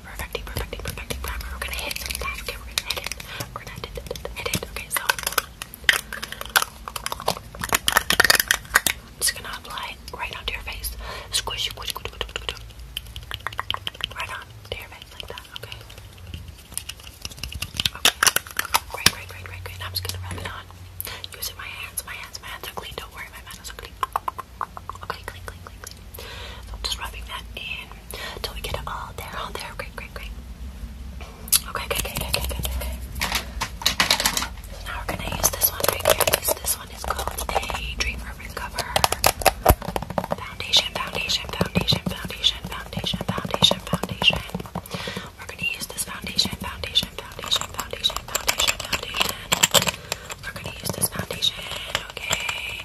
primer, perfecting, perfecting, perfecting primer. We're gonna hit some Okay, we're gonna hit it. We're gonna hit it. Hit it. Okay, so just gonna apply right onto your face. Squish, squish, squish, squish, squish, squish. Right on to your face like that. Okay. Okay. Great, great, great, great, great. Now I'm just gonna rub it on. Using my hands, my hands, my hands are clean. Don't worry, my hands are clean. Okay, clean, clean, clean, clean. So I'm just rubbing that in till we get it all there, all there. Great, great, great. Okay, okay, okay, okay, okay, okay. So now we're gonna use this one right here. This, this one is called a Dream Urban Cover Foundation, Foundation, Foundation, Foundation, Foundation, Foundation, Foundation. We're gonna use this foundation, foundation, foundation, foundation, foundation, foundation. We're gonna use this foundation, okay?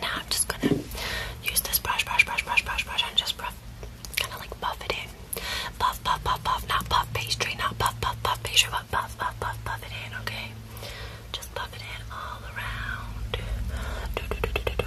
Now I'm just gonna use this brush, brush, brush, brush, brush, brush, and just rough, kind of like buff it in. Puff, puff, puff, puff, not puff pastry, not puff, puff, puff pastry, but puff, puff, puff, puff it in, okay? Just puff it in all around. Good, good, good, good, good, good.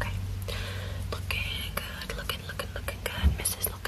Okay. Looking good, looking, looking, looking good. Mrs. Look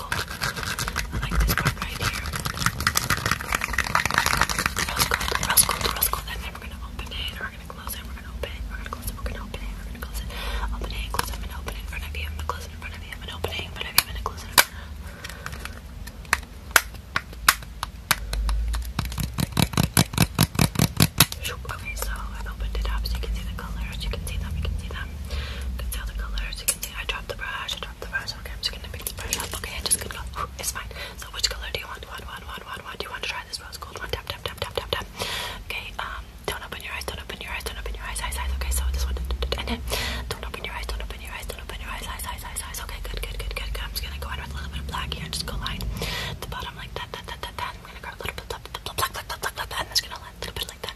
gold. I like this part right here. Rose gold, rose gold, rose gold. And then we're gonna open it, we're gonna close it, we're gonna open it, we're gonna close it, we're gonna open it, we're gonna close it, open it, close it, and open it in front of you. I'm gonna close it in front of you. I'm gonna open it in front of you. I'm gonna close it in front of you. Okay, so I opened it up so you can see the colors, you can see them, you can see them, you can see all the colors, you can see I dropped the brush, I up, the rose. Okay, I'm just gonna pick this brush up. Okay, I'm just gonna go. It's fine. So which color do you want? One, one, one, one, one. Do you want to try this rose gold one? Tap, tap, tap, tap, tap, tap. Okay. Um, don't open your eyes. Don't open your eyes. Don't open your eyes. Eyes, eyes. Okay, so this one. And then don't open your eyes. Don't open your eyes. Don't open your eyes. Eyes, eyes, eyes, eyes. Okay, good, good, good, good, good. I'm just gonna go in with a little bit of black here. Just go line the bottom like that, that, that, that, that. I'm gonna grab a little bit of black, black, black, black, black, black, and I'm just gonna line a little bit like that.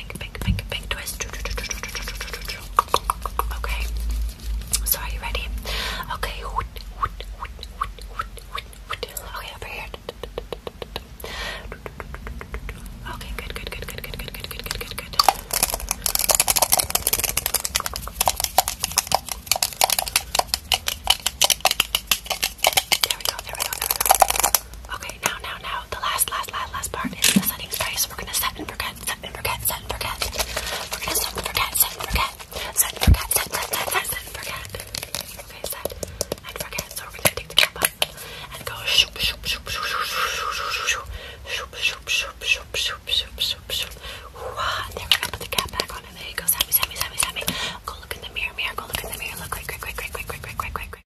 Okay. So are you ready? Okay. Okay, over here. Okay, good, good, good, good, good, good, good, good, good, there we go, there we go. Okay, now, now, now, the last, last, last, last part is the setting space. We're gonna set and forget, set and forget, set and forget. We're gonna set and forget, set and forget, set and forget, set, set, set, set, set and forget. Okay, set and forget. So we're gonna take the cap up and go shoop, shoop, shoop, shoop, shoop, shoop, shoop, shoop, shoop, shoop, shoop, shoop, shoop, shoop. And then we're gonna put the cap back on and there you go, Sammy, Sammy, Sammy, Sammy. Go look in the mirror, mirror, go look in the mirror, look quick, quick, quick, quick, quick, quick, quick, quick, quick, quick.